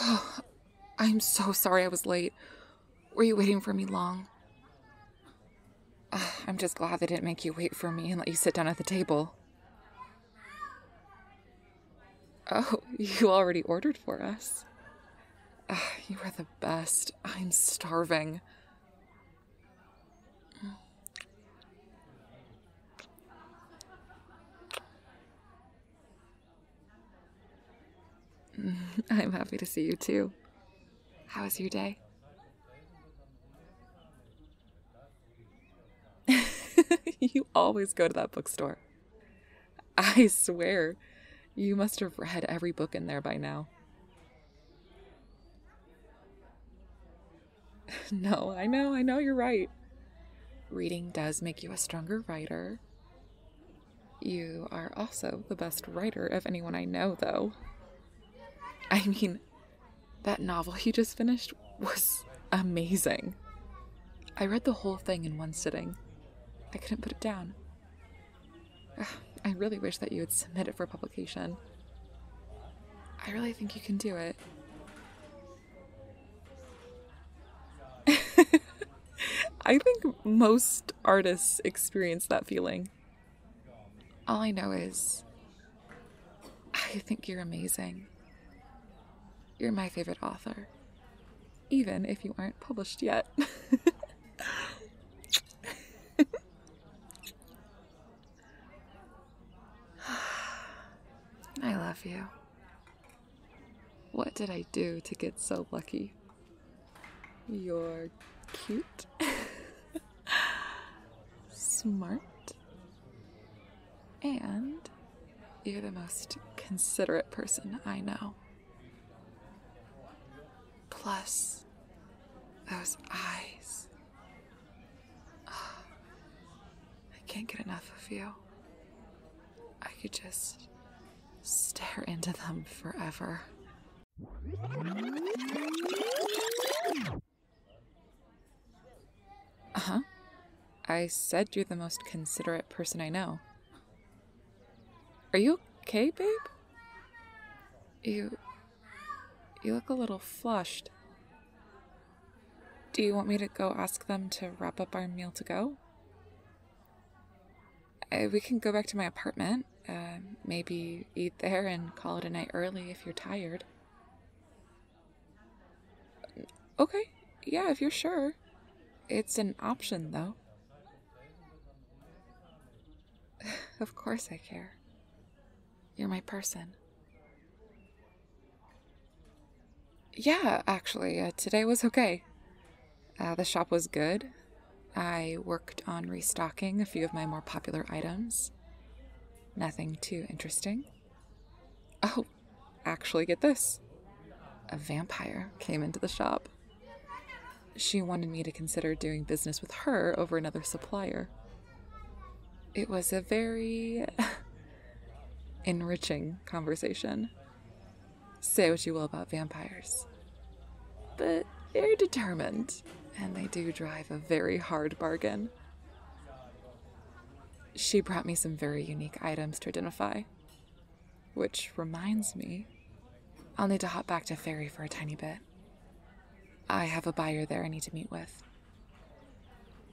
Oh, I'm so sorry I was late. Were you waiting for me long? I'm just glad they didn't make you wait for me and let you sit down at the table. Oh, you already ordered for us. you are the best. I'm starving. I'm happy to see you too. How was your day? you always go to that bookstore. I swear, you must have read every book in there by now. no, I know, I know you're right. Reading does make you a stronger writer. You are also the best writer of anyone I know, though. I mean, that novel you just finished was amazing. I read the whole thing in one sitting. I couldn't put it down. I really wish that you would submit it for publication. I really think you can do it. I think most artists experience that feeling. All I know is I think you're amazing. You're my favorite author, even if you aren't published yet. I love you. What did I do to get so lucky? You're cute, smart, and you're the most considerate person I know. Plus, those eyes. I can't get enough of you. I could just stare into them forever. Uh huh. I said you're the most considerate person I know. Are you okay, babe? You. You look a little flushed. Do you want me to go ask them to wrap up our meal to go? Uh, we can go back to my apartment. Uh, maybe eat there and call it a night early if you're tired. Okay, yeah, if you're sure. It's an option, though. of course I care. You're my person. Yeah, actually, uh, today was okay. Uh, the shop was good. I worked on restocking a few of my more popular items. Nothing too interesting. Oh, actually, get this. A vampire came into the shop. She wanted me to consider doing business with her over another supplier. It was a very enriching conversation. Say what you will about vampires, but they're determined and they do drive a very hard bargain. She brought me some very unique items to identify, which reminds me I'll need to hop back to Fairy for a tiny bit. I have a buyer there I need to meet with.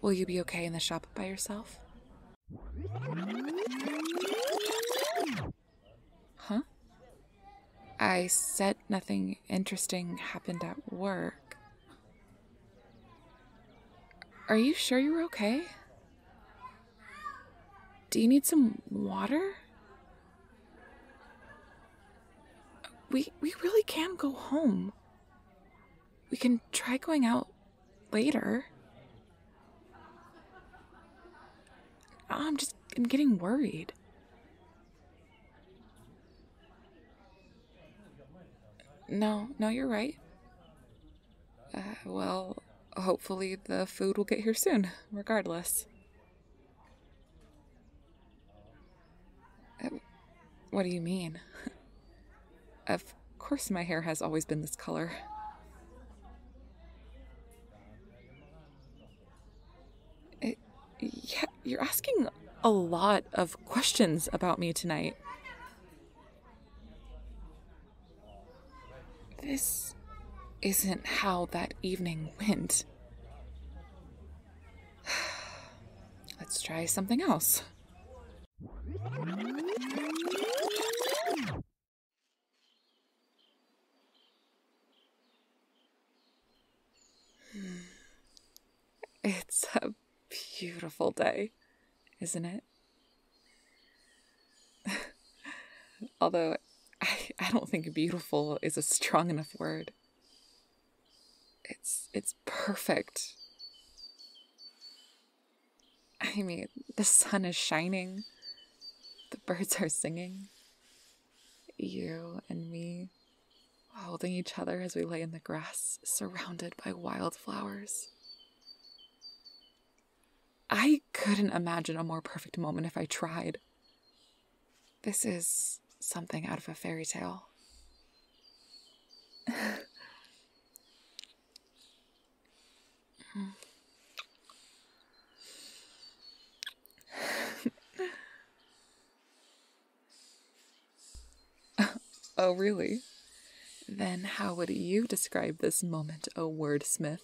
Will you be okay in the shop by yourself? Huh? I said nothing interesting happened at work. Are you sure you're okay? Do you need some water? We we really can go home. We can try going out later. I'm just I'm getting worried. No, no, you're right. Uh, well, hopefully the food will get here soon, regardless. What do you mean? of course, my hair has always been this color. yeah, you're asking a lot of questions about me tonight. This isn't how that evening went. Let's try something else. It's a beautiful day, isn't it? Although I, don't think beautiful is a strong enough word. It's it's perfect. I mean, the sun is shining. The birds are singing. You and me holding each other as we lay in the grass, surrounded by wildflowers. I couldn't imagine a more perfect moment if I tried. This is something out of a fairy tale. oh, really? Then how would you describe this moment, O wordsmith?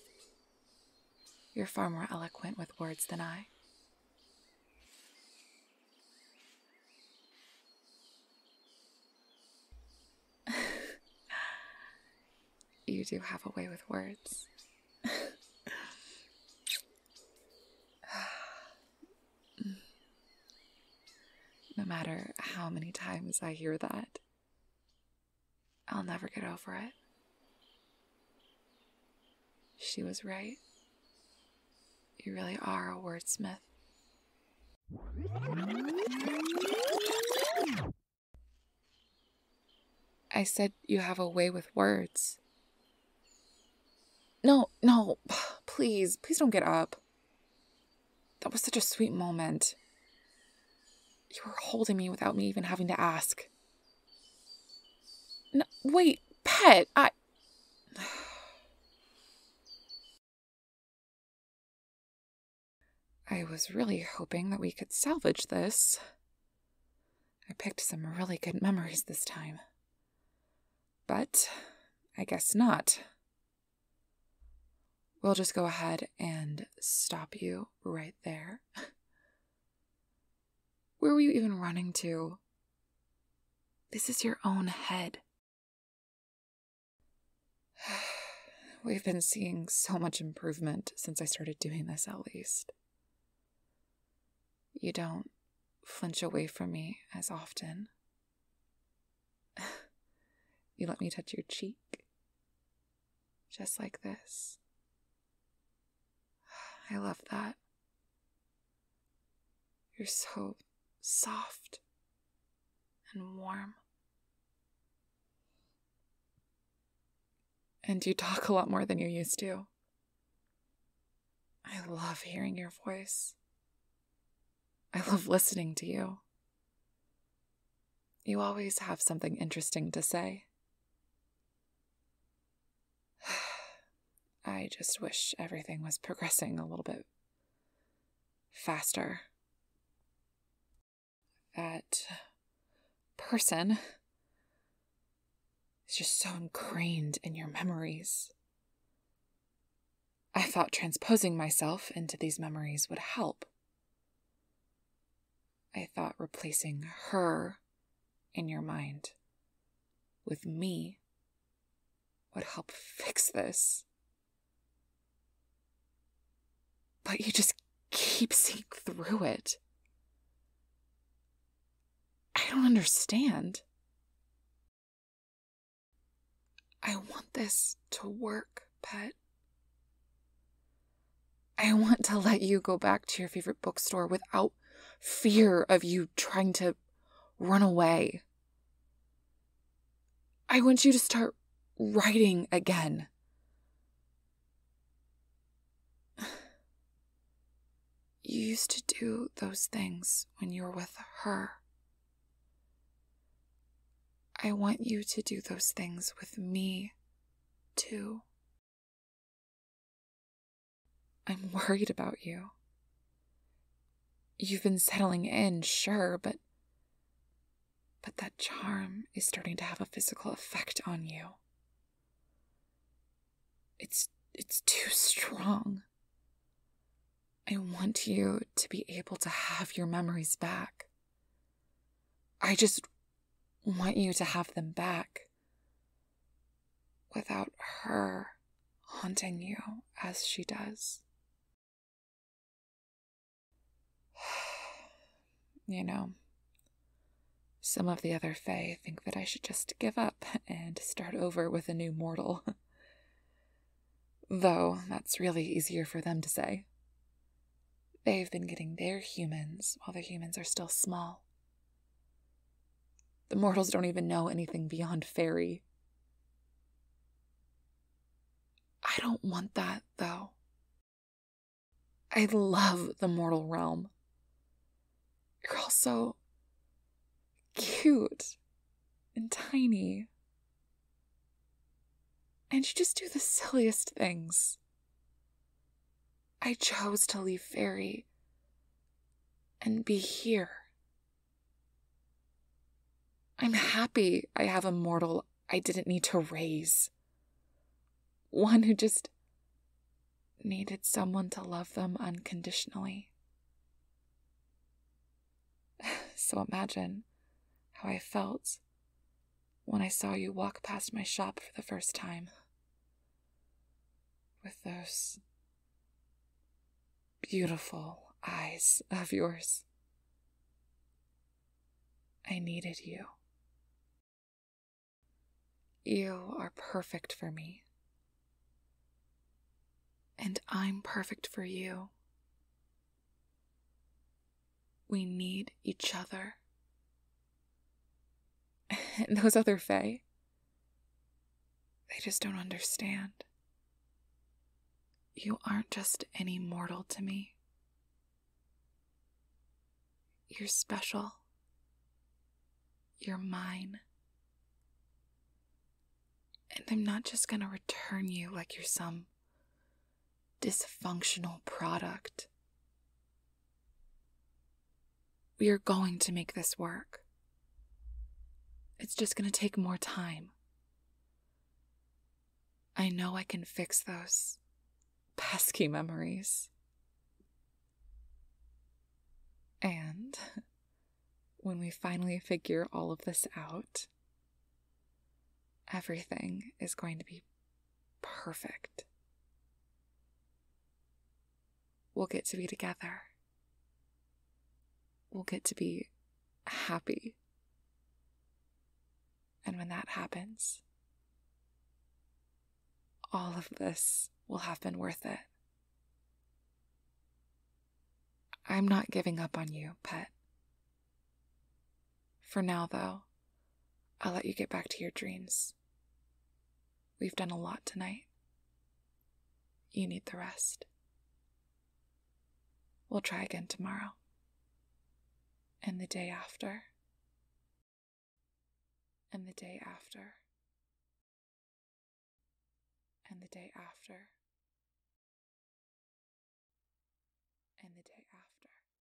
You're far more eloquent with words than I you do have a way with words. no matter how many times I hear that, I'll never get over it. She was right. You really are a wordsmith. I said you have a way with words. No, no, please, please don't get up. That was such a sweet moment. You were holding me without me even having to ask. wait, pet, I. I was really hoping that we could salvage this. I picked some really good memories this time. But I guess not. We'll just go ahead and stop you right there. Where were you even running to? This is your own head. We've been seeing so much improvement since I started doing this, at least. You don't flinch away from me as often. you let me touch your cheek, just like this. I love that. You're so soft and warm. And you talk a lot more than you used to. I love hearing your voice. I love listening to you. You always have something interesting to say. I just wish everything was progressing a little bit faster. That person is just so ingrained in your memories. I thought transposing myself into these memories would help. I thought replacing her in your mind with me would help fix this. But you just keep seeing through it. I don't understand. I want this to work, pet. I want to let you go back to your favorite bookstore without fear of you trying to run away. I want you to start writing again. You used to do those things when you were with her. I want you to do those things with me, too. I'm worried about you. You've been settling in, sure, but. But that charm is starting to have a physical effect on you. It's it's too strong. I want you to be able to have your memories back. I just want you to have them back without her haunting you as she does. you know, some of the other Fae think that I should just give up and start over with a new mortal. Though that's really easier for them to say. They've been getting their humans while the humans are still small the mortals don't even know anything beyond fairy. I don't want that, though. I love the mortal realm. You're all so cute and tiny. And you just do the silliest things. I chose to leave Fairy and be here. I'm happy I have a mortal I didn't need to raise. One who just needed someone to love them unconditionally. so imagine how I felt when I saw you walk past my shop for the first time with those beautiful eyes of yours. I needed you. You are perfect for me. And I'm perfect for you. We need each other and those other Fae, they just don't understand. You aren't just any mortal to me. You're special. You're mine. And I'm not just going to return you like you're some dysfunctional product. We are going to make this work. It's just going to take more time. I know I can fix those pesky memories. And when we finally figure all of this out, everything is going to be Perfect. We'll get to be together. We'll get to be happy. And when that happens, all of this will have been worth it. I'm not giving up on you, pet. For now, though, I'll let you get back to your dreams. We've done a lot tonight. You need the rest. We'll try again tomorrow and the day after and the day after and the day after and the day after.